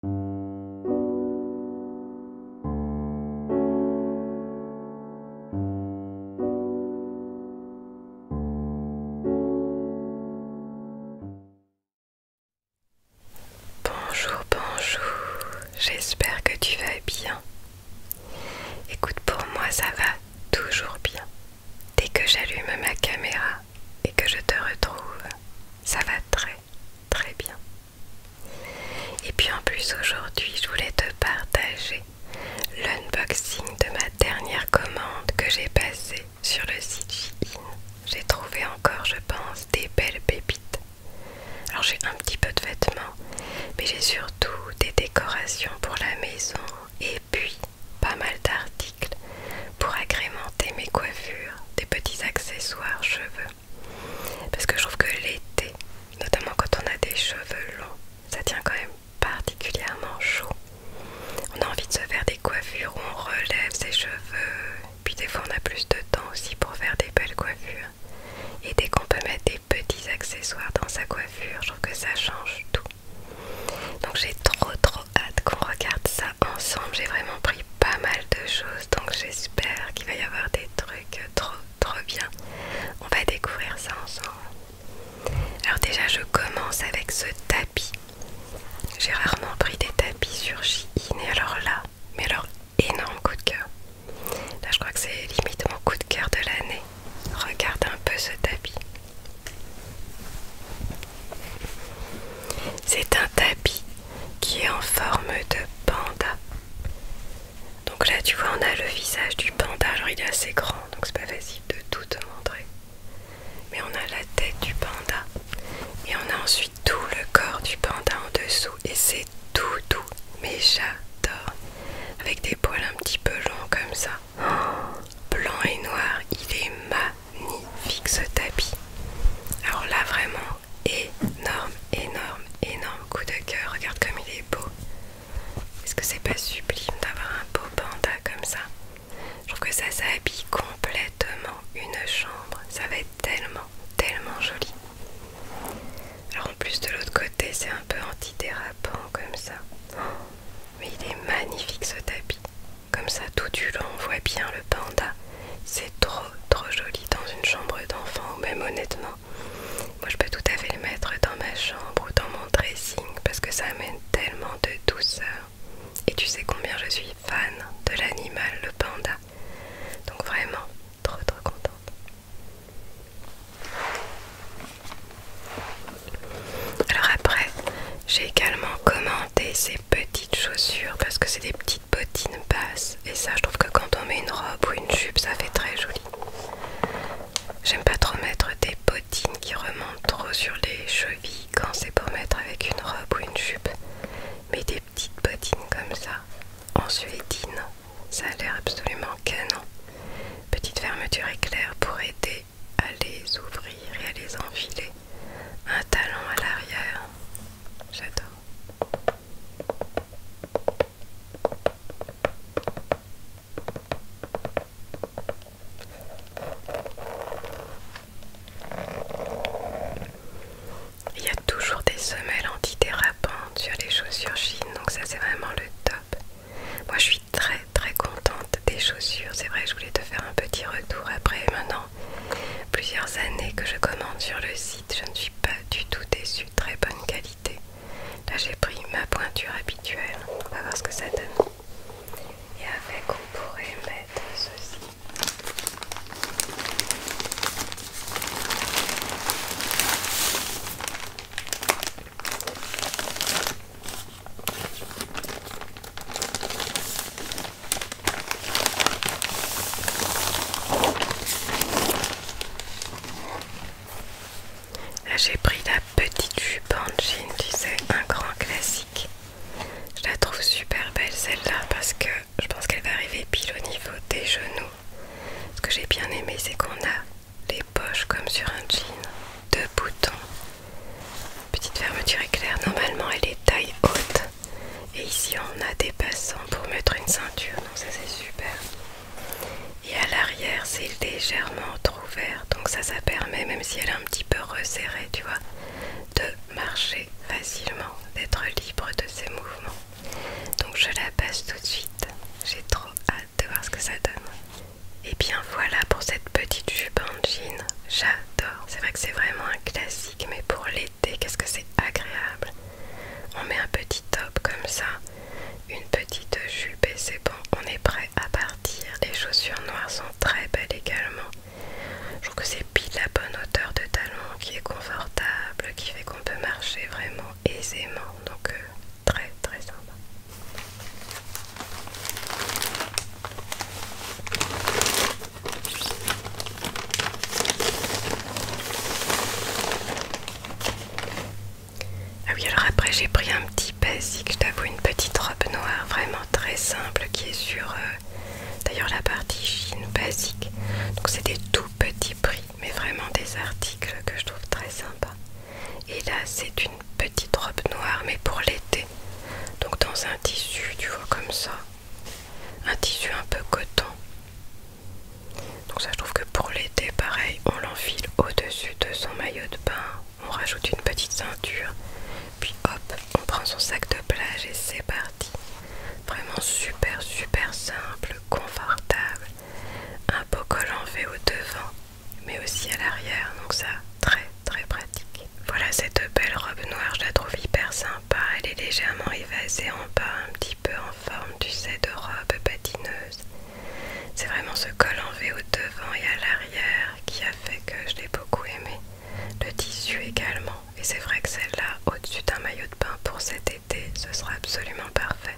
Bonjour, bonjour, j'espère que tu vas bien. Écoute, pour moi ça va toujours bien. Dès que j'allume ma caméra et que je te retrouve, ça va très très bien. Et puis en plus aujourd'hui je voulais te partager l'unboxing de ma dernière commande que j'ai passée sur le site Shein. J'ai trouvé encore je pense des belles pépites. Alors j'ai un petit peu de vêtements mais j'ai surtout des décorations pour la maison et puis pas mal d'articles pour agrémenter mes coiffures des petits accessoires cheveux. Parce que je trouve que l'été, notamment quand on a des cheveux longs, ça tient quand même particulièrement chaud. On a envie de se faire des coiffures on relève ses cheveux. Puis des fois on a plus de temps aussi pour faire des belles coiffures. Et dès qu'on peut mettre des petits accessoires dans sa coiffure, je trouve que ça change tout. Donc j'ai trop trop hâte qu'on regarde ça ensemble. J'ai vraiment pris pas mal de choses donc j'espère qu'il va y avoir des trucs trop trop bien. On va découvrir ça ensemble. Alors déjà je commence avec ce tapis. J'ai rarement pris des tapis sur Shein et alors là, mais alors énorme coup de cœur. Là je crois que c'est limite mon coup de cœur de l'année. Regarde un peu ce tapis. C'est un tapis qui est en forme de panda. Donc là tu vois on a le visage du panda, genre il est assez grand donc c'est pas facile de tout te montrer. Mais on a la tête du panda et on a ensuite tout le corps du panda en dessous et c'est tout doux mais j'adore avec des poils un petit peu longs comme ça. Oh, blanc et noir, il est ma ni fixe tapis. Alors là vraiment énorme, énorme, énorme coup de cœur. Regarde comme il est beau. Est-ce que c'est pas sublime d'avoir un beau panda comme ça Je trouve que ça, s'habille complètement une chambre. Ça va être tellement, tellement joli. Alors en plus de l'autre côté, c'est un peu antidérapant comme ça. Oh, mais il est magnifique ce tapis. Comme ça tout du long on voit bien le panda. C'est trop trop joli dans une chambre d'enfant ou même honnêtement. Moi je peux tout à fait le mettre dans ma chambre ou dans mon dressing parce que ça amène tellement de douceur. Et tu sais combien je suis fan de l'animal, le panda. Donc vraiment, trop trop contente. Alors après, j'ai également commencé ces petites chaussures parce que c'est des petites bottines basses et ça je trouve que quand on met une robe ou une jupe ça fait très joli. J'aime pas trop mettre des bottines qui remontent trop sur les chevilles quand c'est pour mettre avec une robe ou une jupe. Mais des petites bottines comme ça, en suédine, ça a l'air absolument canon. Petite fermeture éclair pour aider à les ouvrir et à les enfiler un talon à l'arrière. J'adore. Il y a toujours des semelles antidérapantes sur les chaussures chines, donc ça c'est vraiment le top. Moi je suis très très contente des chaussures, c'est vrai je voulais te faire un petit retour après, maintenant plusieurs années que je commande sur le site. Je ne suis pas du tout déçue, très bonne qualité. Là j'ai pris ma pointure habituelle, on va voir ce que ça donne. Et avec on pourrait mettre ceci. Là j'ai pris la petite jupe en jean, tu sais, un grand classique. Je la trouve super belle celle-là parce que je pense qu'elle va arriver pile au niveau des genoux. Ce que j'ai bien aimé c'est qu'on a les poches comme sur un jean, deux boutons, petite fermeture éclair, normalement elle est taille haute. Et ici on a des passants pour mettre une ceinture, donc ça c'est super. Et à l'arrière c'est légèrement ouvert, donc ça ça permet, même si elle est un petit peu resserrée, tu vois, de marcher facilement, d'être libre de ses mouvements. Donc je la passe tout de suite, j'ai trop hâte de voir ce que ça donne. Et bien voilà pour cette petite jupe en jean, j'adore, c'est vrai que c'est vraiment un classique mais pour les qu'est-ce que c'est agréable. On met un petit top comme ça, une petite jupe et c'est bon, on est prêt à partir. Les chaussures noires sont très belles également. Je trouve que c'est pile la bonne hauteur de talon qui est confortable, qui fait qu'on peut marcher vraiment aisément. Donc euh, très très sympa. Ah oui, alors après j'ai pris un petit basique, je t'avoue, une petite robe noire vraiment très simple qui est sur euh, d'ailleurs la partie chine basique. Donc c'est des tout petits prix, mais vraiment des articles que je trouve très sympa Et là c'est une petite robe noire mais pour l'été. Donc dans un tissu, tu vois comme ça un tissu un peu coton. Donc ça je trouve que pour l'été pareil on l'enfile au-dessus de son maillot de bain, on rajoute une petite ceinture, puis hop on prend son sac de plage et c'est parti. Vraiment super super simple, confortable, un peu col en au devant mais aussi à l'arrière donc ça très très pratique. Voilà cette belle robe noire, je la trouve hyper sympa. Elle est légèrement évasée en bas, un petit peu en forme, tu sais, de robe patineuse. C'est vraiment ce col en V au devant et à l'arrière qui a fait que je l'ai beaucoup aimé. Le tissu également. Et c'est vrai que celle-là, au-dessus d'un maillot de bain pour cet été, ce sera absolument parfait.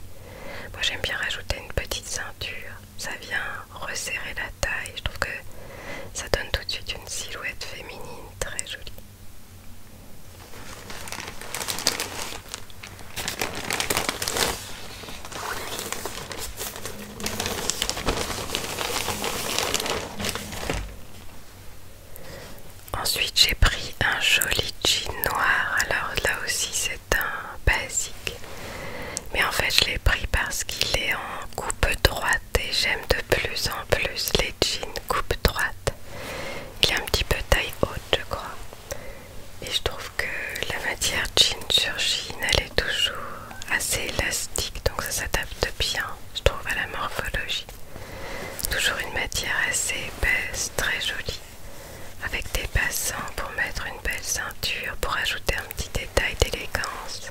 Moi j'aime bien rajouter une petite ceinture. Ça vient resserrer la taille. Je trouve que ça donne tout de suite une silhouette féminine très jolie. Ensuite j'ai pris un joli jean noir, alors là aussi c'est un basique, mais en fait je l'ai pris parce qu'il est en coupe droite et j'aime de plus en plus les jeans coupe droite. Il est un petit peu taille haute, je crois. Et je trouve que la matière jean sur jean, elle est toujours assez élastique, donc ça s'adapte bien, je trouve, à la morphologie. Toujours une matière assez épaisse, très jolie, avec des passants pour mettre une belle ceinture, pour ajouter un petit détail d'élégance.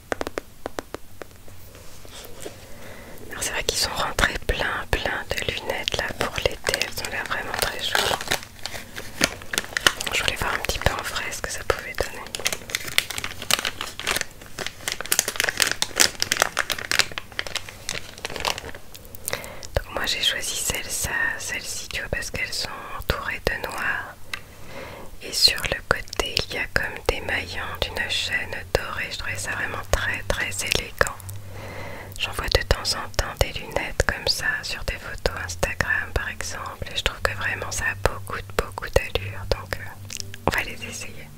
Alors c'est vrai qu'ils sont rentrés plein plein de lunettes là pour l'été, elles ont l'air vraiment très jolies. Je voulais voir un petit peu en frais ce que ça pouvait donner. Donc moi j'ai choisi celle-ci celle vois parce qu'elles sont entourées de noir et sur le côté, il y a comme des maillons d'une chaîne dorée. Je trouvais ça vraiment très très élégant. J'en vois de temps en temps des lunettes comme ça sur des photos Instagram par exemple. Et je trouve que vraiment ça a beaucoup beaucoup d'allure. Donc euh, on va les essayer.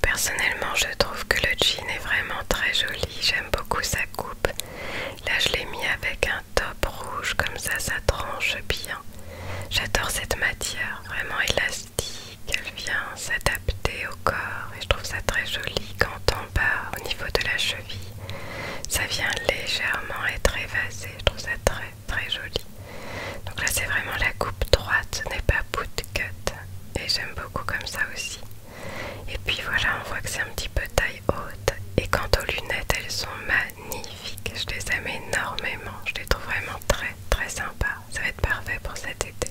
Personnellement, je trouve que le jean est vraiment très joli. J'aime beaucoup sa coupe. Là, je l'ai mis avec un top rouge, comme ça, ça tranche bien. J'adore cette matière vraiment élastique, elle vient s'adapter au corps et je trouve ça très joli quand on part au niveau de la cheville. Ça vient légèrement être évasé, je trouve ça très très joli. Donc là c'est vraiment la coupe droite, ce n'est pas bout de bootcut et j'aime beaucoup comme ça aussi. Et puis voilà, on voit que c'est un petit peu taille haute et quant aux lunettes, elles sont Magnifique, Je les aime énormément. Je les trouve vraiment très très sympas. Ça va être parfait pour cet été.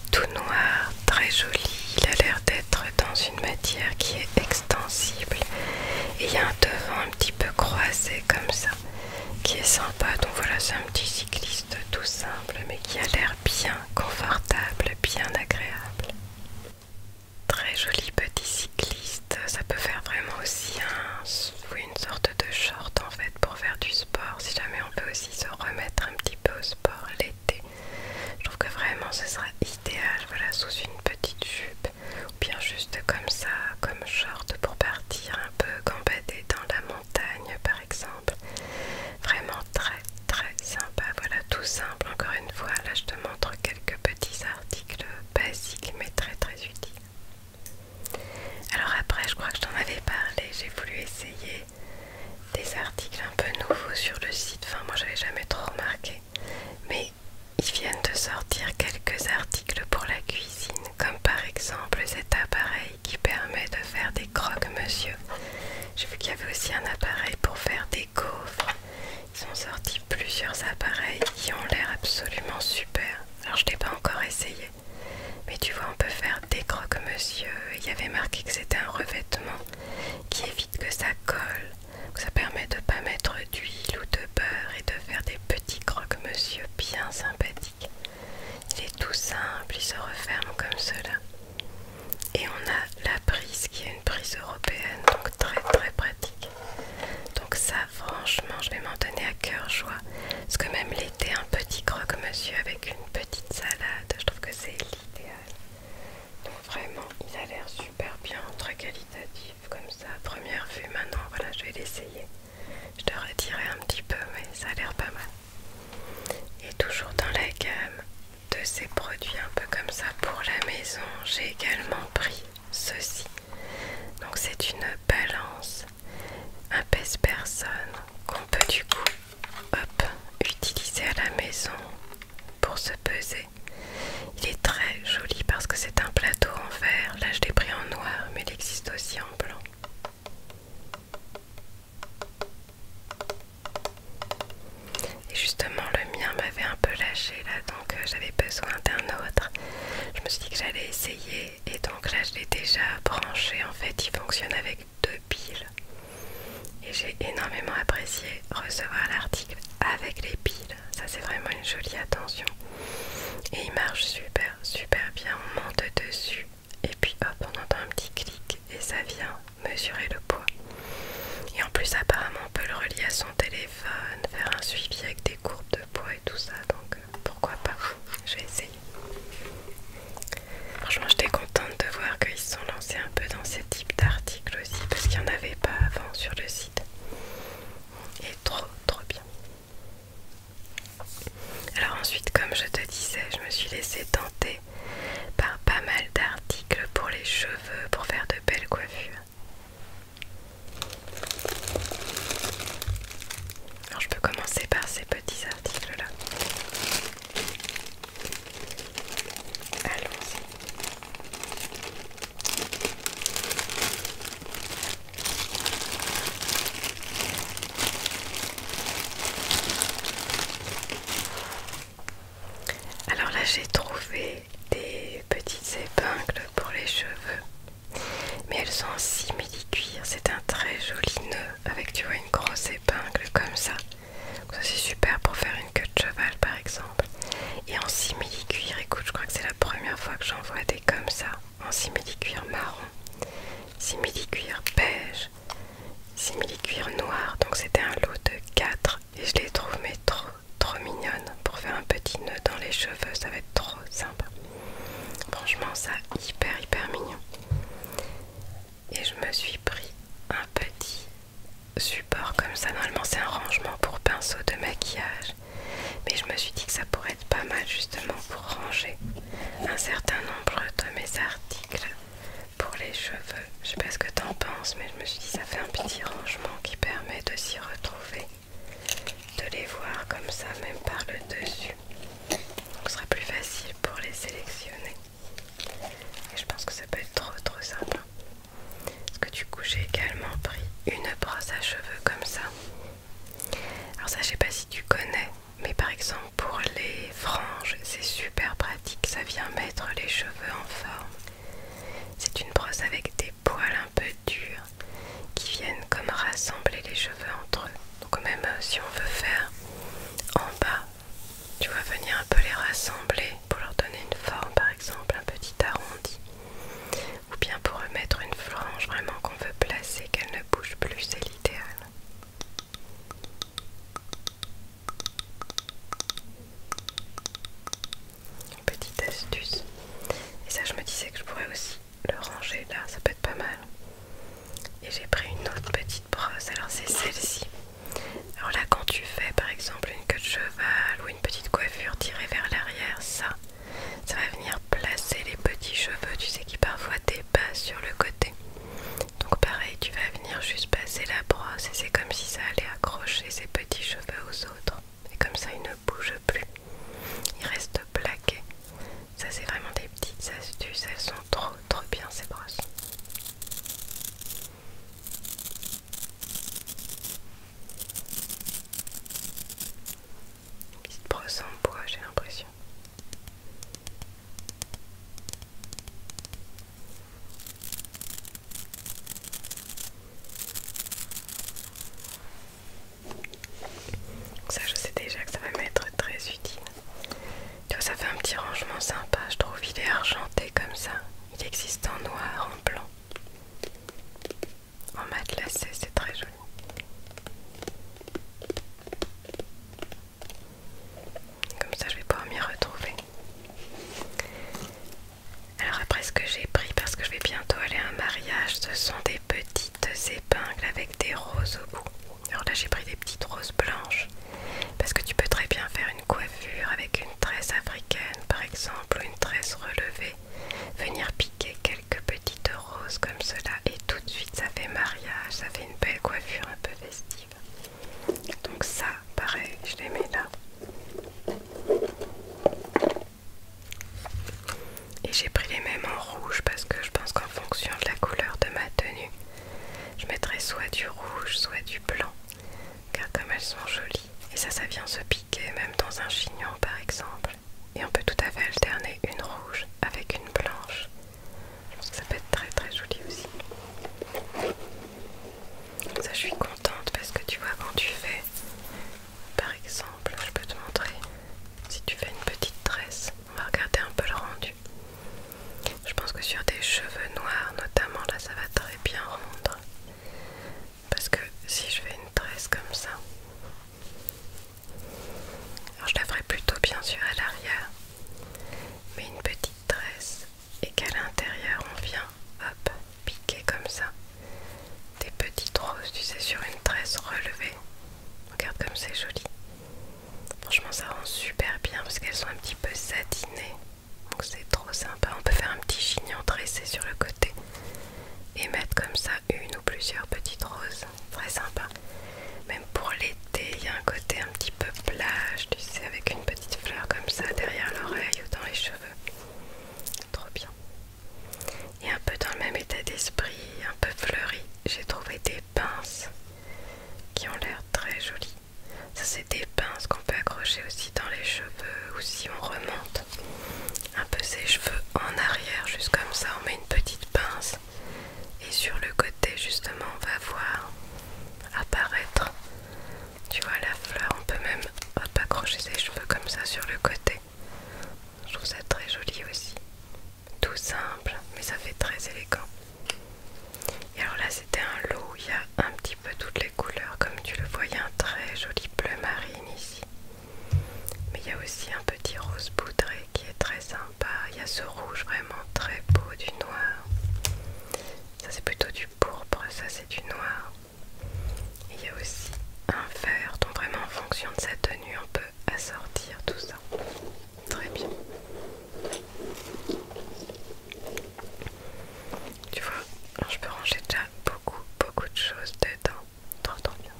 tout noir, très joli. Il a l'air d'être dans une matière qui est extensible. Et il y a un devant un petit peu croisé comme ça, qui est sympa. Donc voilà, c'est un petit cycliste tout simple, mais qui a l'air bien confortable, bien agréable. Très joli petit cycliste. Ça peut faire vraiment aussi une sorte de short en fait pour faire du sport. Si jamais on peut aussi se remettre un petit peu au sport l'été, je trouve que vraiment ce sera idéal. Voilà, sous une petite jupe ou bien juste comme ça, comme short pour partir un peu gambader dans la montagne par exemple. Vraiment très très sympa. Voilà, tout simple. Encore une fois, là je te montre quelques petits articles basiques mais très très utiles. Alors après, je crois que je t'en avais parlé, j'ai voulu essayer des articles un peu nouveaux sur le site. Enfin, moi, j'avais jamais trop remarqué, mais ils viennent de sortir quelques articles pour la cuisine, comme par exemple cet appareil qui permet de faire des croques, monsieur J'ai vu qu'il y avait aussi un appareil pour faire des gaufres. Ils ont sorti plusieurs appareils qui ont l'air absolument super. Alors je ne pas encore essayé. Mais tu vois, on peut faire des croque-monsieur. Il y avait marqué que c'était un revêtement qui évite que ça colle. ça permet de ne pas mettre d'huile ou de beurre et de faire des petits croque-monsieur bien sympathiques. Il est tout simple, il se referme comme cela. Et on a la prise qui est une prise européenne, donc très très pratique. Donc ça, franchement, je vais m'en donner à cœur joie. Parce que même l'été, un petit croque-monsieur avait une petite salade. Je trouve que c'est l'idéal. Donc vraiment, il a l'air super bien, très qualitatif comme ça. Première vue maintenant, voilà, je vais l'essayer. Je te redirai un petit peu, mais ça a l'air pas mal. Et toujours dans la gamme de ces produits un peu comme ça pour la maison, j'ai également pris ceci. Donc c'est une balance un pèse-personne qu'on peut du coup utiliser à la maison pour se peser. Il est très joli parce que c'est un plateau en verre. Là, je l'ai pris en noir, mais il existe aussi en blanc. Et justement, le mien m'avait un peu lâché là, donc euh, j'avais besoin d'un autre. Je me suis dit que j'allais essayer, et donc là, je l'ai déjà branché. En fait, il fonctionne avec de piles et j'ai énormément apprécié recevoir l'article avec les piles. Ça c'est vraiment une jolie attention et il marche super super bien. On monte dessus et puis hop on entend un petit clic et ça vient mesurer le poids. Et en plus apparemment on peut le relier à son téléphone, faire un suivi avec des courbes de poids et tout ça donc euh, pourquoi pas, je vais essayer. Franchement, j'étais contente de voir qu'ils se sont lancés un peu dans ce type d'articles aussi, parce qu'il n'y en avait pas avant sur le site. Et trop, trop bien. Alors ensuite, comme je te disais, je me suis laissée tenter par pas mal d'articles pour les cheveux, pour faire de belles coiffures. Alors je peux commencer par ces petits articles là. Allons-y. Alors là j'ai trouvé des petites épingles pour les cheveux mais elles sont si c'est un très joli nœud avec tu vois une grosse épingle comme ça. ça c'est super pour faire une queue de cheval par exemple. Et en simili-cuir, écoute, je crois que c'est la première fois que j'en vois des comme ça, en simili-cuir marron, simili-cuir beige, simili-cuir noir. Donc c'était un lot de 4 et je les trouve mais trop trop mignonnes pour faire un petit nœud dans les cheveux, ça va être trop sympa. Franchement ça hyper hyper mignon et je me suis pris un petit support comme ça. Normalement, c'est un rangement pour pinceaux de maquillage, mais je me suis dit que ça pourrait être pas mal justement pour ranger un certain nombre de mes articles pour les cheveux. Je sais pas ce que t'en penses, mais je me suis dit que ça fait un petit rangement qui permet de s'y retrouver, de les voir comme ça, même par le dessus. Donc ce sera plus facile pour les sélectionner. Et je pense que ça peut être trop trop simple. Parce que du coup j'ai également pris une brosse à cheveux comme ça. Alors ça je sais pas si tu connais, mais par exemple pour les franges c'est super pratique, ça vient mettre les cheveux en forme. C'est une brosse avec des poils un peu durs qui viennent comme rassembler les cheveux entre eux donc même euh, si on veut faire en bas tu vas venir un peu les rassembler pour leur donner une forme par exemple un petit arrondi ou bien pour mettre une flange vraiment qu'on veut placer qu'elle ne bouge plus c'est l'idéal petite astuce et ça je me disais que je pourrais aussi le ranger là, ça peut être pas mal. Et j'ai pris une autre petite brosse, alors c'est celle-ci. Alors là, quand tu fais par exemple une queue de cheval ou une petite coiffure tirée vers l'arrière, ça, ça va venir placer les petits cheveux, tu sais, qui parfois dépassent sur le côté. Donc pareil, tu vas venir juste passer la brosse et c'est comme si ça allait accrocher ces petits cheveux aux autres. Et comme ça, ils ne bougent plus. Ils restent plaqués. Ça, c'est vraiment des petites astuces, elles sont trop trop bien ces brosses. Une petite brosse en bois, j'ai l'impression. Ça, je sais déjà que ça va m'être très utile. Tu vois, ça fait un petit rangement sympa, je trouve. Il est argenté comme ça. Il existe en noir, en blanc, en matelassé, c'est très joli. Comme ça, je vais pouvoir m'y retrouver. Alors après ce que j'ai pris, parce que je vais bientôt aller à un mariage, ce sont des petites épingles avec des roses au bout. Alors là j'ai pris des petites roses blanches parce que tu peux très bien faire une coiffure avec une tresse africaine par exemple ou une tresse relevée, venir piquer quelques petites roses comme cela et tout de suite ça fait mariage, ça fait une belle coiffure un peu festive. Donc ça pareil je les mets là. Et j'ai pris les mêmes en rouge parce que je pense qu'en fonction de la couleur de ma tenue, je mettrai soit du rouge, soit du blanc. Car comme elles sont jolies, et ça, ça vient se piquer même dans un chignon par exemple. Et on peut tout à fait alterner une rouge avec une blanche. Je pense que ça peut être très très joli aussi. Ça, je suis contente parce que tu vois, quand tu fais, par exemple, je peux te montrer, si tu fais une petite tresse, on va regarder un peu le rendu. Je pense que sur des cheveux noirs notamment, là ça va très bien rendre. Parce que si je fais une tresse comme ça, alors je la ferai plutôt bien sûr à l'arrière, mais une petite tresse et qu'à l'intérieur on vient hop piquer comme ça des petites roses, tu sais, sur une tresse relevée. Regarde comme c'est joli. Franchement, ça rend super bien parce qu'elles sont un petit peu satinées. Donc c'est trop sympa. On peut faire un petit chignon dressé sur le côté et mettre comme ça une ou plusieurs petites roses. Très sympa. Même pour l'été, il y a un côté un petit peu plage, tu sais, avec une petite fleur comme ça derrière l'oreille ou dans les cheveux. Trop bien. Et un peu dans le même état d'esprit, un peu fleuri, j'ai trouvé des pinces qui ont l'air très jolies. Ça c'est des pinces qu'on peut accrocher aussi dans les cheveux ou si on remonte un peu ses cheveux en arrière, juste comme ça on met une petite pince et sur le côté justement on va voir apparaître, tu vois la fleur, on peut même accrocher ses cheveux comme ça sur le côté. Je trouve ça très joli aussi tout simple, mais ça fait très élégant. Et alors là, c'était un lot, il y a un petit peu toutes les couleurs, comme tu le vois, il y a un très joli bleu marine ici. Mais il y a aussi un petit rose poudré qui est très sympa. Il y a ce rouge vraiment très beau, du noir. Ça c'est plutôt du pourpre, ça c'est du noir. Et il y a aussi un vert, donc vraiment en fonction de sa tenue, on peut à sortir tout ça. Très bien. Tu vois, je peux ranger déjà beaucoup, beaucoup de choses dedans. bien.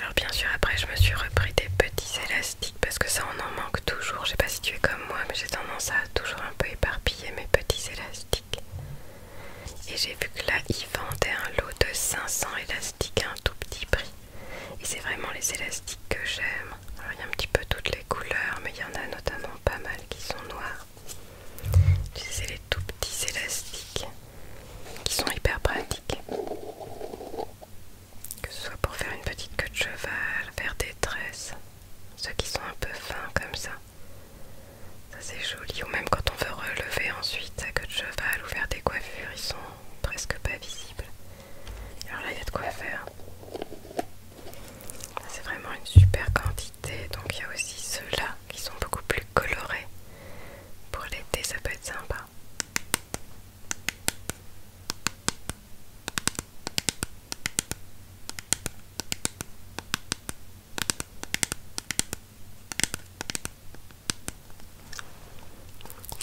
Alors bien sûr, après je me suis repris des petits élastiques parce que ça on en manque toujours. Je sais pas si tu es comme moi, mais j'ai tendance à toujours un peu éparpiller mes petits élastiques. Et j'ai vu que là, il vendait un lot de 500 élastiques à un tout petit prix. Et c'est vraiment les élastiques que j'aime. Alors il y a un petit peu toutes les couleurs, mais il y en a notamment pas mal qui sont noirs. c'est les tout petits élastiques qui sont hyper pratiques. Que ce soit pour faire une petite queue de cheval, faire des tresses, ceux qui sont un peu fins comme ça. Ça c'est joli, ou même quand on veut relever ensuite sa queue de cheval ou faire des coiffures ils sont presque pas visibles. Alors là il y a de quoi faire. C'est vraiment une super quantité. Donc il y a aussi ceux-là qui sont beaucoup plus colorés. Pour l'été ça peut être sympa.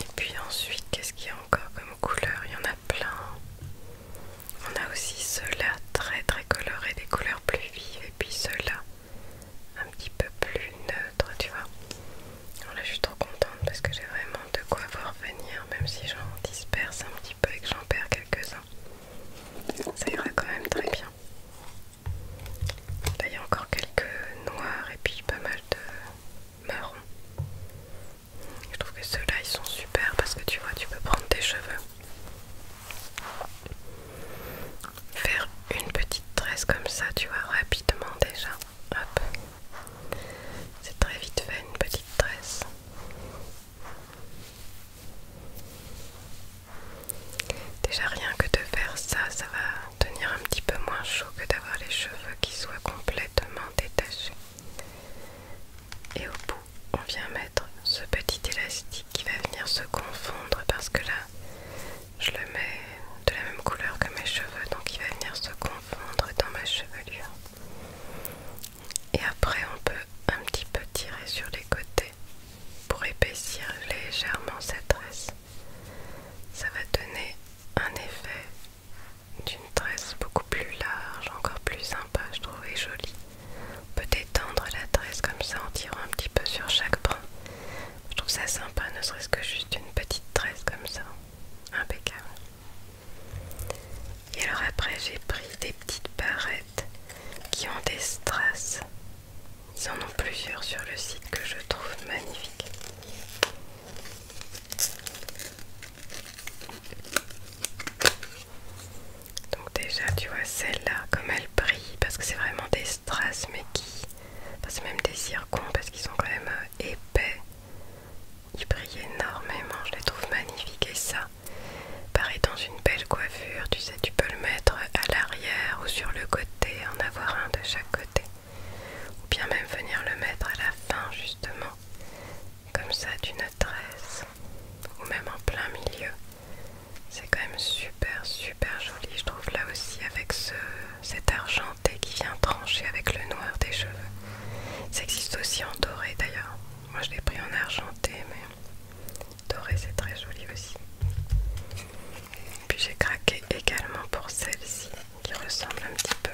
Et puis ensuite, qu'est-ce qu'il y a encore comme couleurs Il y en a plein. On a aussi ceux-là très très colorés, des couleurs plus vives, et puis ceux-là un petit peu plus neutre, tu vois. Alors là, je suis trop contente parce que j'ai vraiment de quoi voir venir, même si j'en disperse un petit peu et que j'en perds quelques-uns. Ça ira quand même très bien. Bah, il y a encore quelques noirs et puis pas mal de marron. Je trouve que ceux-là ils sont super parce que tu vois tu peux prendre tes cheveux. Faire une petite tresse comme ça, tu vois, rapidement déjà. Hop. C'est très vite fait une petite tresse. Déjà rien que de faire ça, ça va tenir un petit peu moins chaud que d'avoir les cheveux qui soient complètement détachés. Et au bout, on vient mettre ce petit élastique qui va venir se confondre parce que là, je le mets de la même couleur que mes cheveux, donc il va venir se confondre dans ma chevelure. Et après, on peut un petit peu tirer sur les côtés pour épaissir légèrement cette tresse ça va donner un effet d'une tresse beaucoup plus large, encore plus sympa je trouvais joli jolie. On peut détendre la tresse comme ça en tirant un petit peu sur chaque brin. Je trouve ça sympa, ne serait-ce que juste une petite tresse comme ça. Impeccable. Et alors après j'ai pris des petites barrettes qui ont des strass ils en ont plusieurs sur le site que je trouve magnifique Donc déjà tu vois celle-là comme elle brille parce que c'est vraiment des strass mais qui... c'est même des circons parce qu'ils sont quand même euh, épais. Ils brillent énormément, je les trouve magnifiques et ça, pareil dans une belle coiffure, tu sais tu peux le mettre à l'arrière ou sur le côté, en avoir un de chaque côté ou bien même venir le mettre à la fin justement comme ça d'une tresse ou même en plein milieu c'est quand même super super joli je trouve là aussi avec ce, cet argenté qui vient trancher avec le noir des cheveux ça existe aussi en doré d'ailleurs moi je l'ai pris en argenté mais doré c'est très joli aussi puis j'ai craqué également pour celle-ci qui ressemble un petit peu.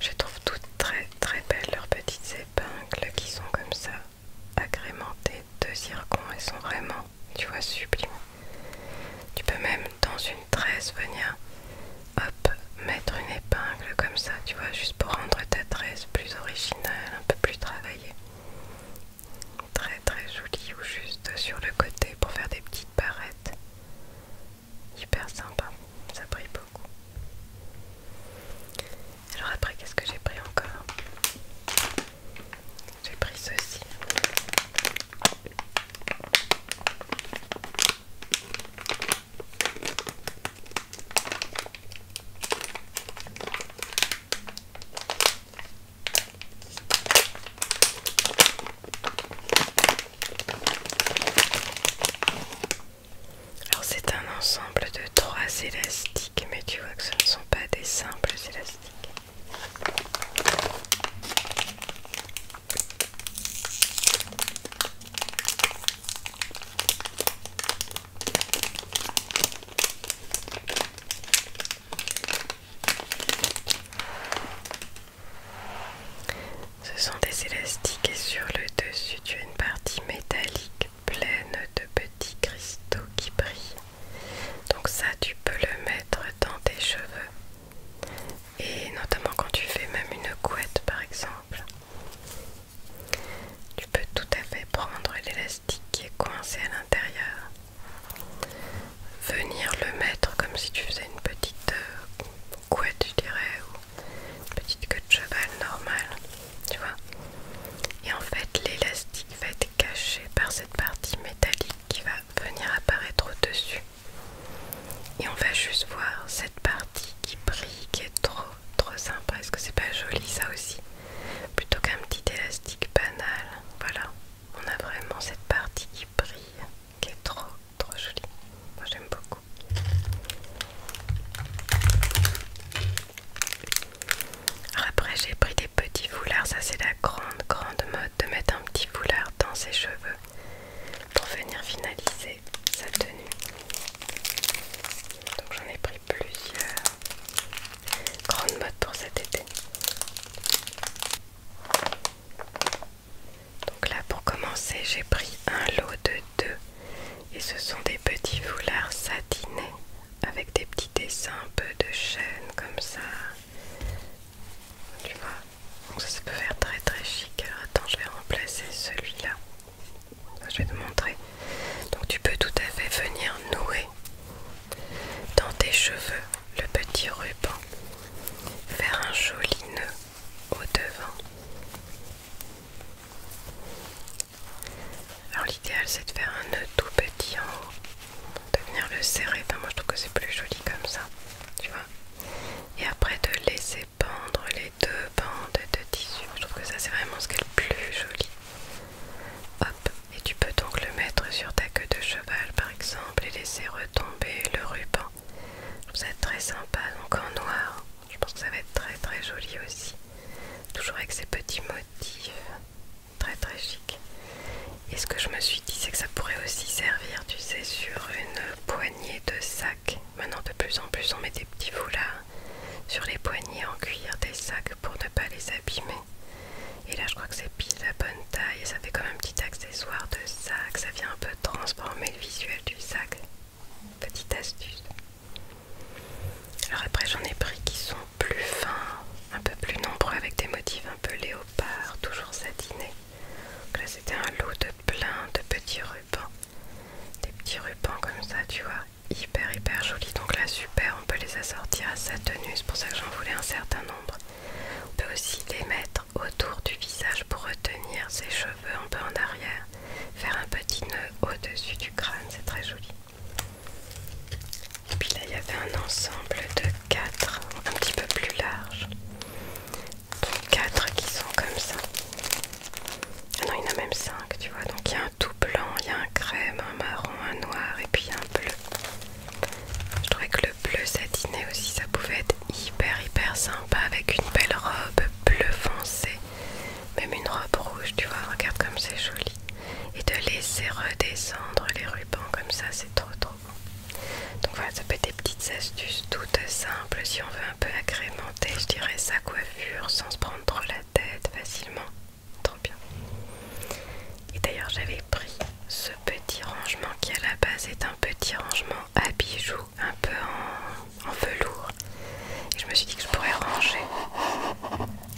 Je trouve toutes très très belles leurs petites épingles qui sont comme ça, agrémentées de zircon. et sont vraiment, tu vois, sublimes. Tu peux même dans une tresse venir, hop, mettre une épingle comme ça, tu vois, juste pour rendre ta tresse plus originale, un peu plus travaillée très très joli ou juste sur le côté pour faire des petites barrettes. Hyper sympa, ça brille beaucoup. Alors après, qu'est-ce que j'ai pris encore J'ai pris ceci. Alors c'est un ensemble de trois élastiques, mais tu vois que ce ne sont pas des simples élastiques. Ce sont des élastiques et sur le dessus tu as une partie métallique pleine de petits cristaux qui brillent. Donc ça tu peux le mettre dans tes cheveux. Et notamment quand tu fais même une couette par exemple. Tu peux tout à fait prendre l'élastique qui est coincé à l'intérieur venir le mettre comme si tu faisais une petite euh, couette, je dirais, ou une petite queue de cheval normale, tu vois. Et en fait, l'élastique va être caché par cette partie métallique qui va venir apparaître au-dessus. Et on va juste voir cette partie qui brille, qui est trop, trop sympa. Est-ce que c'est pas joli ça aussi Plutôt qu'un petit élastique banal, voilà on a vraiment cette partie qui brille, qui est trop trop jolie. Moi j'aime beaucoup. après j'ai pris des petits foulards, ça c'est la grande grande mode de mettre un petit foulard dans ses cheveux pour venir finaliser sa tenue. Donc j'en ai pris plusieurs. Grande mode pour cet été. Donc là pour commencer j'ai pris un lot de deux et ce sont des petits foulards satinés avec des petits dessins un peu de chaîne comme ça. Tu vois Donc ça, ça peut faire très très chic. Alors attends je vais remplacer celui-là. Je vais te montrer. Donc tu peux tout à fait venir nouer dans tes cheveux le petit ruban, faire un joli nœud au devant. Alors l'idéal c'est de faire un nœud tout petit en haut, de venir le serrer, enfin moi je trouve que c'est plus joli comme ça, tu vois. Et après de laisser pendre les deux bandes de tissu, je trouve que ça c'est vraiment ce qui est le plus joli. Hop, et tu peux donc le mettre sur ta queue de cheval par exemple et laisser retomber le ruban. Ça va être très sympa, donc en noir. Je pense que ça va être très très joli aussi. Toujours avec ces petits motifs. Très très chic. Et ce que je me suis dit, c'est que ça pourrait aussi servir, tu sais, sur une poignée de sacs Maintenant, de plus en plus, on met des petits foulards sur les poignées en cuir des sacs pour ne pas les abîmer. Et là je crois que c'est pile la bonne taille ça fait comme un petit accessoire de sac. Ça vient un peu transformer le visuel du sac. Petite astuce. Alors après j'en ai pris qui sont plus fins, un peu plus nombreux avec des motifs un peu léopard, toujours satinés. Donc là c'était un lot de plein de petits rubans. Des petits rubans comme ça tu vois, hyper hyper joli. Donc là super, on peut les assortir à sa tenue, c'est pour ça que j'en voulais un certain nombre. On peut aussi les mettre autour du visage pour retenir ses cheveux un peu en arrière, faire un petit nœud au-dessus du crâne, c'est très joli. Et puis là, il y avait un ensemble de quatre, un petit peu plus large. Donc quatre qui sont comme ça. Ah non, il y en a même cinq, tu vois. Donc il y a un tout blanc, il y a un crème, un marron, un noir et puis un bleu. Je trouvais que le bleu satiné aussi, ça pouvait être hyper hyper sympa avec une belle robe bleu foncé, même une robe rouge, tu vois, regarde comme c'est joli. Et de laisser redescendre les rubans comme ça, c'est trop trop bon. Donc voilà, ça peut être des petites astuces toutes simples si on veut un peu agrémenter, je dirais, sa coiffure sans se prendre trop la tête facilement trop bien. Et d'ailleurs, j'avais pris ce petit rangement qui à la base est un petit rangement à bijoux, un peu en, velours. Et je me suis dit que je pourrais ranger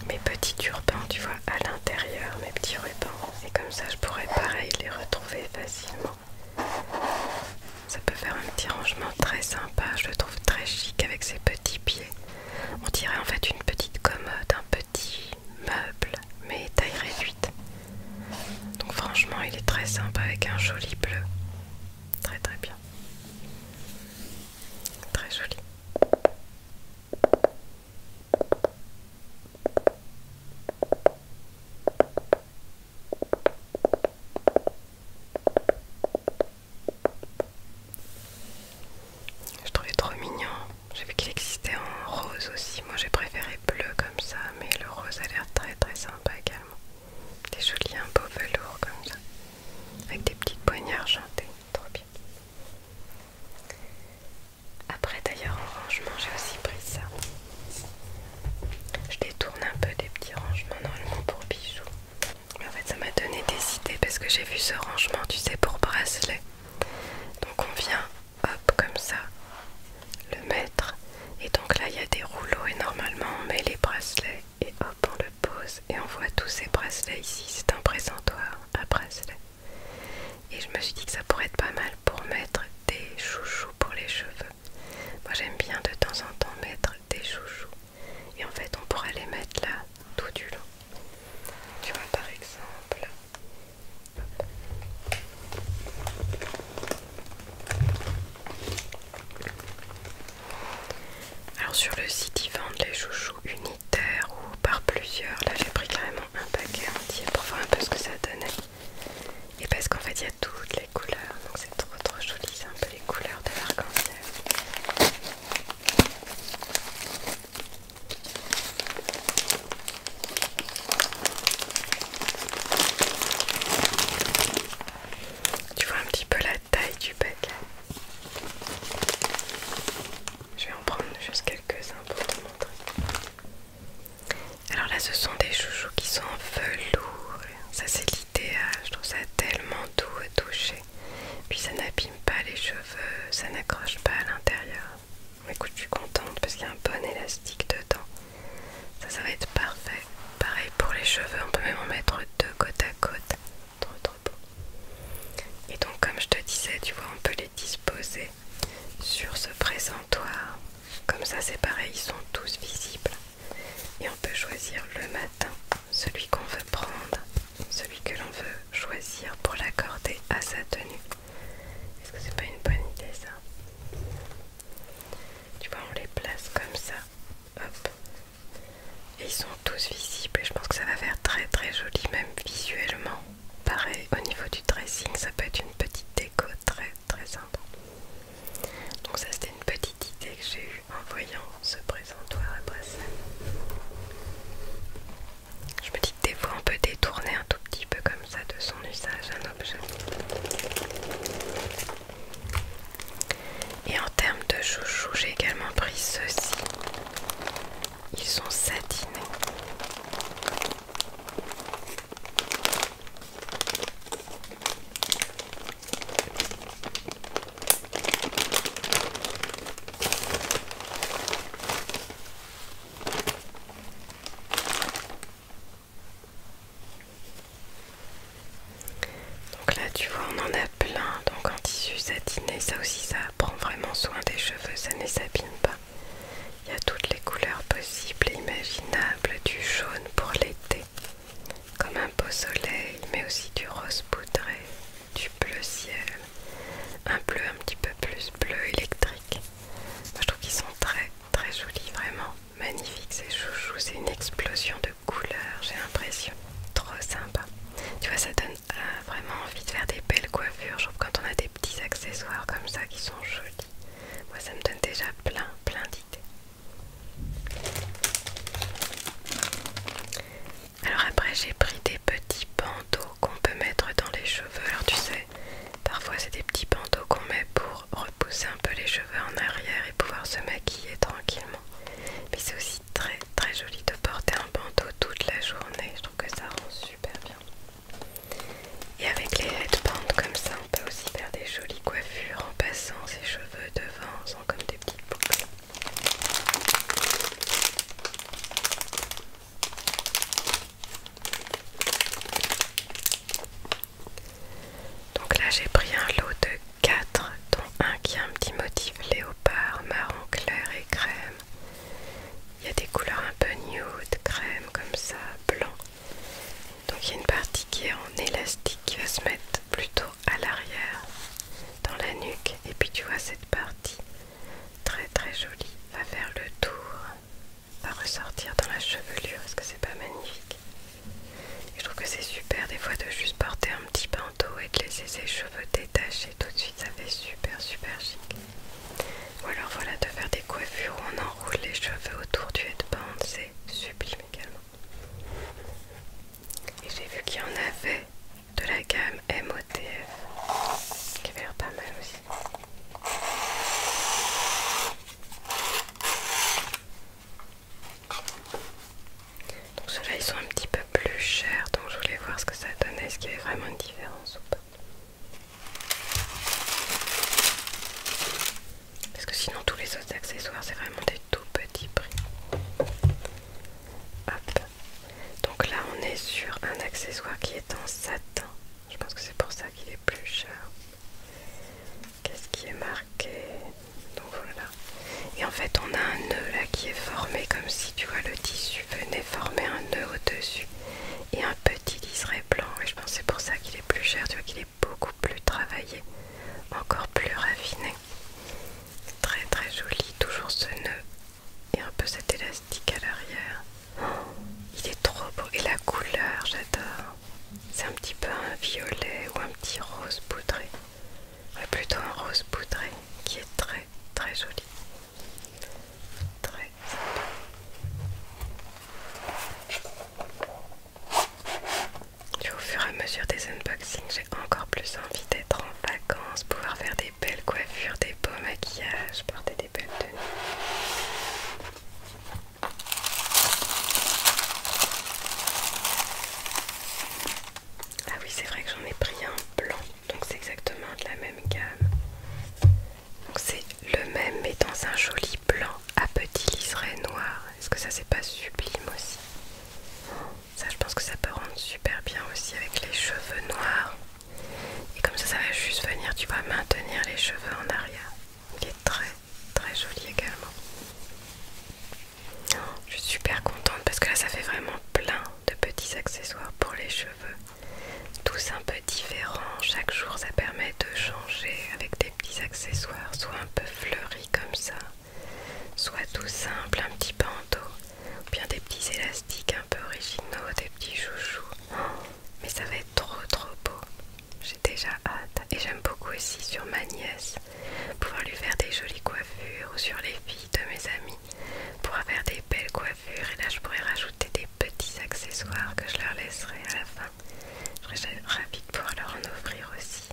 mes petits turbans, tu vois, à l'intérieur, mes petits rubans. Et comme ça, je pourrais pareil les retrouver facilement. Ça peut faire un petit rangement très sympa, je le trouve très chic avec ses petits pieds. On dirait en fait une petite commode, un petit petit meuble mais taille réduite. Donc franchement il est très sympa avec un joli bleu. Très très bien. Très joli. Je trouvais trop mignon. J'ai vu qu'il existait en rose aussi. Moi j'ai préféré bleu comme ça, mais le rose a l'air très très sympa également. Des jolis, un beau velours comme ça. Avec des petites poignées argentées. Trop bien. Après d'ailleurs en rangement, j'ai aussi pris ça. Je détourne un peu des petits rangements normalement pour bijoux. Mais en fait ça m'a donné des idées parce que j'ai vu ce rangement, tu sais, pour bracelets. Donc on vient, hop, comme ça, le mettre. Et donc là, il y a des rouleaux et normalement, on met les bracelets et hop, on le pose. Et on voit tous ces bracelets ici. C'est un présentoir à bracelets. Et je me suis dit que ça pourrait être pas mal pour mettre des chouchous pour les cheveux. Moi, j'aime bien de temps en temps mettre des chouchous. Et en fait, on pourrait les mettre là tout du long. Tu vois par exemple, alors sur le site ils vendent les chouchous unitaires ou par plusieurs. Là j'ai pris carrément un paquet entier pour voir un peu ce que ça donnait. Et parce qu'en fait il y a toutes les couleurs, donc c'est trop trop joli, c'est un peu les couleurs de l'arc-en-ciel. Tu vois un petit peu la taille du paquet. Je vais en prendre juste quelques-uns pour te montrer. Alors là, ce sont des chouchous qui sont en velours. Ça, c'est l'idéal. Je trouve ça tellement doux à toucher. Puis ça n'abîme pas les cheveux, ça n'accroche pas à l'intérieur. Écoute, je suis contente parce qu'il y a un bon élastique dedans. Ça, ça va être parfait. Pareil pour les cheveux, on peut même en mettre deux côte à côte. dans trop beau. Et donc, comme je te disais, tu vois, on peut les disposer sur ce présentoir. Comme ça, c'est pareil, ils sont tous visibles. Et on peut choisir le matin celui qu'on veut prendre celui que l'on veut choisir pour l'accorder à sa tenue. Est-ce que c'est pas une bonne idée ça Tu vois, on les place comme ça. Hop. Et ils sont tous visibles et je pense que ça va faire très très joli même visuellement. Pareil au niveau du dressing, ça peut être une petite déco très très simple. Donc ça c'était une petite idée que j'ai eue en voyant ce présentoir à je me dis que des fois on peut détourner un tout petit peu comme ça de son usage un objet. Et en termes de chouchou, j'ai également pris ceux-ci. Ils sont satinés. Donc là tu vois on en a plein donc en tissu satiné ça aussi ça prend vraiment soin des cheveux ça ne s'abîme pas. Il y a toutes les couleurs possibles et imaginables du jaune pour l'été comme un beau soleil mais aussi du rose poudré du bleu ciel, un bleu un petit peu plus bleu électrique. je trouve qu'ils sont très très jolis, vraiment magnifiques ces chouchous, c'est une explosion de couleurs, j'ai l'impression. Trop sympa. Tu vois, ça donne euh, vraiment envie de faire des belles coiffures. Je trouve quand on a des petits accessoires comme ça qui sont jolis. Moi, ça me donne déjà plein, plein d'idées. Alors après j'ai pris des petits bandeaux qu'on peut mettre dans les cheveux. Alors tu sais, parfois c'est des petits bandeaux qu'on met pour repousser un peu les cheveux en arrière et pouvoir se maquiller tranquillement. Mais c'est aussi très très joli de porter un bandeau toute la journée. Je trouve que ça rend super bien. Et avec les headbands comme ça, on peut aussi faire des jolies coiffures en passant ses cheveux devant, en faisant comme des petites boucles. Donc là j'ai pris un lot de 4, dont un qui a un petit motif léopard, marron clair et crème. Il y a des couleurs un peu nude, crème comme ça, blanc. Donc il y a une partie qui est en élastique qui va se mettre plutôt à l'arrière dans la nuque. Et puis tu vois cette partie Très très joli. Va faire le tour. Va ressortir dans la chevelure. Est-ce que c'est pas magnifique Je trouve que c'est super des fois de juste porter un petit bandeau et de laisser ses cheveux détachés tout de suite. Ça fait super super chic. Ou alors voilà de faire des coiffures où on enroule les cheveux autour du headband. C'est sublime également. Et j'ai vu qu'il y en avait de la gamme MOTF qui avait l'air pas mal aussi. Donc ceux-là ils sont un petit peu plus chers donc je voulais voir ce que ça donnait, est-ce qu'il y avait vraiment une différence ou pas. Parce que sinon tous les autres accessoires c'est vraiment des tout petits prix. Hop. Donc là on est sur un accessoire qui est en satin. Je pense que c'est pour ça qu'il est plus cher. Qu'est-ce qui est marqué Donc voilà. Et en fait on a un nœud là qui est formé comme si tu vois le tissu venait former un nœud au-dessus. Et un petit liseré blanc. Et je pense que c'est pour ça qu'il est plus cher. Tu vois qu'il est beaucoup plus travaillé. Encore plus raffiné. Très très joli. Toujours ce nœud et un peu cet élastique à l'arrière. Oh, il est trop beau et la couleur, j'adore. C'est un petit peu un violet ou un petit rose poudré. Ouais, plutôt un rose poudré qui est très très joli. Très joli. Au fur et à mesure des unboxings, j'ai encore plus envie d'être en vacances, pouvoir faire des des belles coiffures, des beaux maquillages, porter des belles tenues. Ah oui, c'est vrai que j'en ai pris un blanc, donc c'est exactement de la même gamme. Donc c'est le même, mais dans un joli blanc à petit liseré noir. Est-ce que ça, c'est pas sublime aussi Ça, je pense que ça peut rendre super bien aussi avec les cheveux noirs. Et comme ça, ça va juste venir, tu vas maintenir les cheveux en arrière. Il est très très joli également. je suis super contente parce que là, ça fait vraiment plein de petits accessoires pour les cheveux. Tous un peu différents. Chaque jour, ça permet de changer avec des petits accessoires, soit un peu fleuris comme ça, soit tout simple, un petit panto ou bien des petits élastiques un peu originaux, des petits chouchous. Mais ça va être trop trop beau. J'ai déjà hâte et j'aime beaucoup aussi sur ma nièce pouvoir lui faire des jolies coiffures ou sur les filles de mes amis pouvoir faire des belles coiffures et là je pourrais rajouter des petits accessoires que je leur laisserai à la fin. Je serais ravie de pouvoir leur en offrir aussi.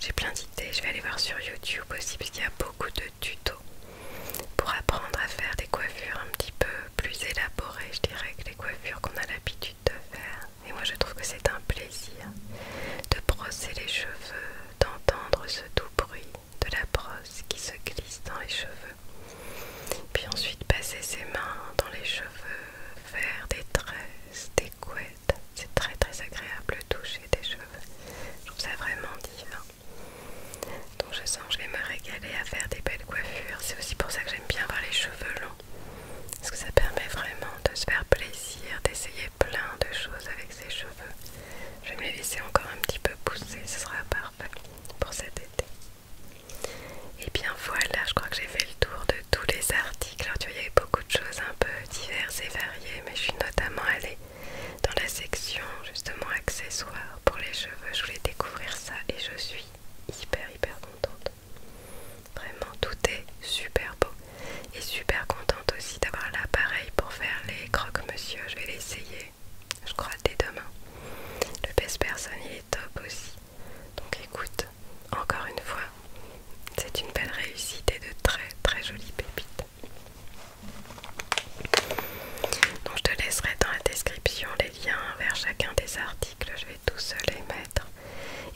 J'ai plein d'idées, je vais aller voir sur YouTube aussi parce qu'il y a beaucoup de tuto pour apprendre à faire des coiffures un petit peu plus élaborées, je dirais, que les coiffures qu'on a l'habitude de faire. Et moi je trouve que c'est un plaisir de brosser les cheveux, d'entendre ce doux bruit de la brosse qui se glisse dans les cheveux. Puis ensuite passer ses mains dans les cheveux, faire des tresses, des couettes. C'est très très agréable de toucher des cheveux. Je trouve ça vraiment divin. Donc je sens que je vais me régaler à faire des belles coiffures. C'est aussi pour ça que j'aime bien avoir les cheveux longs. Parce que ça permet vraiment de se faire plaisir, d'essayer plein de choses avec ses cheveux. Je vais me laisser encore un petit peu pousser, ce sera parfait pour cet été. Et bien voilà, je crois que j'ai fait le tour de tous les articles. Alors tu vois, il y avait beaucoup de choses un peu diverses et variées, mais je suis notamment allée dans la section justement accessoires pour les cheveux. Je voulais découvrir ça et je suis hyper hyper contente. Vraiment, tout est super beau et super contente aussi d'avoir l'appareil pour faire les croque-monsieur. Je vais l'essayer, je crois, dès demain. Le best personne est top aussi. Donc écoute, encore une fois, c'est une belle réussite et de très très jolies pépites. Donc je te laisserai dans la description les liens vers chacun des articles, je vais tous les mettre.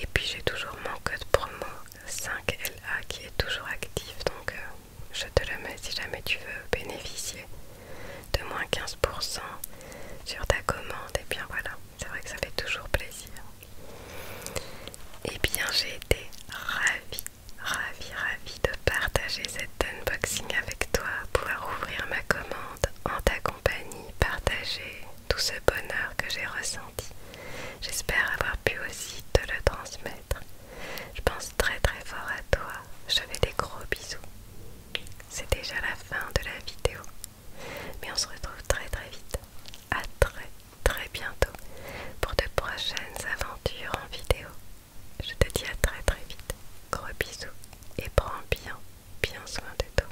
Et puis j'ai toujours mon code promo 5LA qui est toujours actif, donc euh, je te le mets si jamais tu veux bénéficier de moins 15% sur ta commande. Et bien voilà, c'est vrai que ça fait toujours plaisir. Et bien j'ai été ravie Ravi, ravi de partager cet unboxing avec toi, pouvoir ouvrir ma commande en ta compagnie, partager tout ce bonheur que j'ai ressenti. J'espère avoir pu aussi te le transmettre. Je pense très très fort à toi. Je fais des gros bisous. C'est déjà la fin de la vidéo. Mais on se retrouve très très vite. À très très bientôt pour de prochaines aventures en vidéo. Je te dis à très très vite. Gros bisous et prends bien, bien soin de toi.